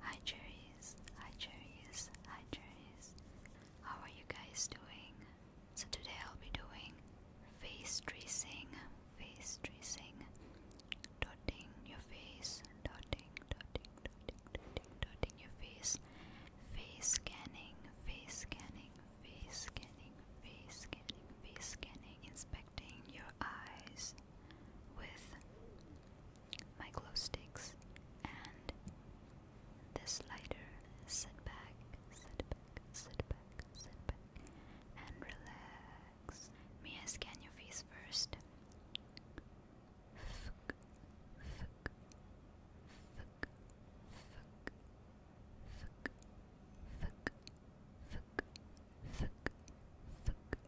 Hi cherries, hi cherries, hi cherries. How are you guys doing? So today I'll be doing face tracing, face tracing, dotting your face, dotting, dotting, dotting, dotting, dotting your face, face scanning, face scanning, face scanning, face scanning, face scanning, inspecting your eyes with my glow sticks, and this lighter. Sit back, sit back, sit back, sit back, and relax. May I scan your face first?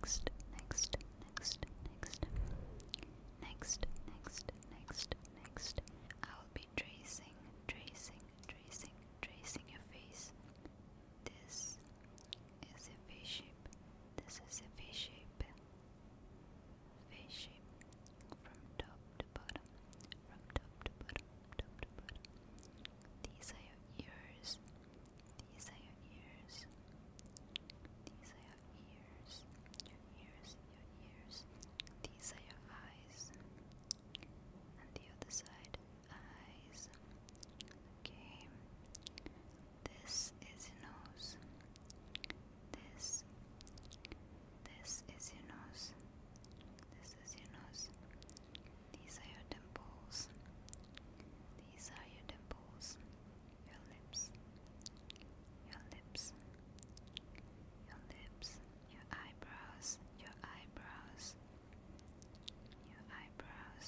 Next, next, next, next, next, next, next, next. I'll be tracing, tracing, tracing, tracing your face. This is a face shape. This is a face shape. Face shape from top to bottom. From top to bottom, top to bottom. These are your ears. These are your ears. These are your ears. Your ears, your ears. These are your eyes. And the other side, eyes. Okay. This is your nose. This. This is your nose. This is your nose. These are your dimples. These are your dimples your lips, your lips, your lips, your eyebrows, your eyebrows, your eyebrows,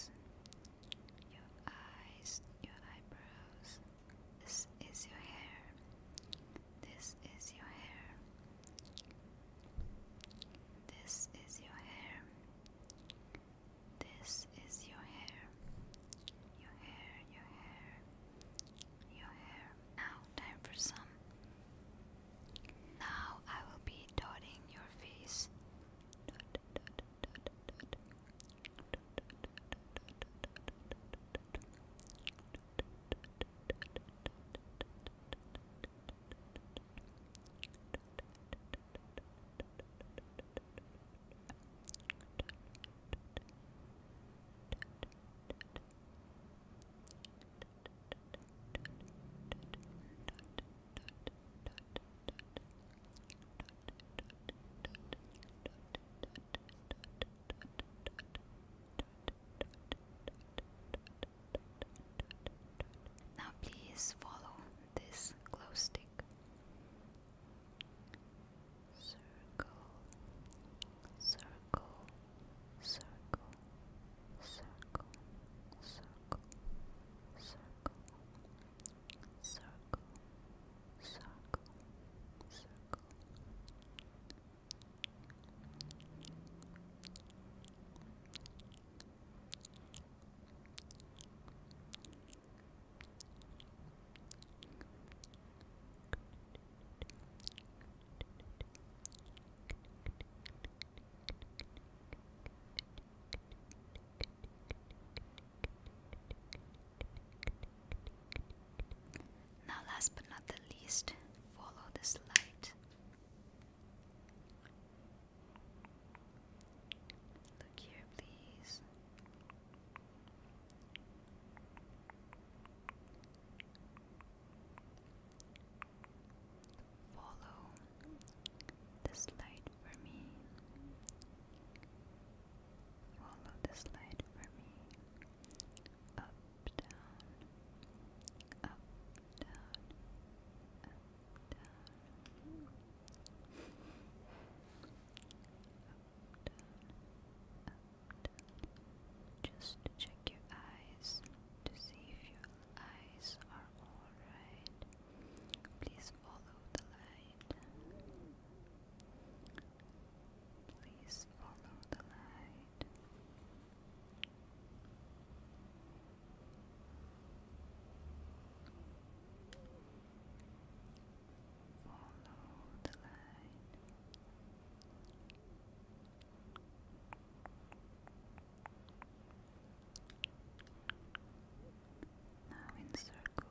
your eyes, your eyebrows. This is your hair. This is your hair. This is your hair. This is your hair. Your hair, your hair, your hair. Now, time for some. Now I will be dotting your face. Now, please follow this glow stick. Circle, circle, circle, circle, circle, circle, circle, circle, circle. Circle, now, last but not the least, follow this light. Look here, please. Follow this light for me. Follow this light for me. Up, down, up, down, up, down. Just check your eyes to see if your eyes are alright. Please follow the light. Please follow the light. Follow the line. Now in circles.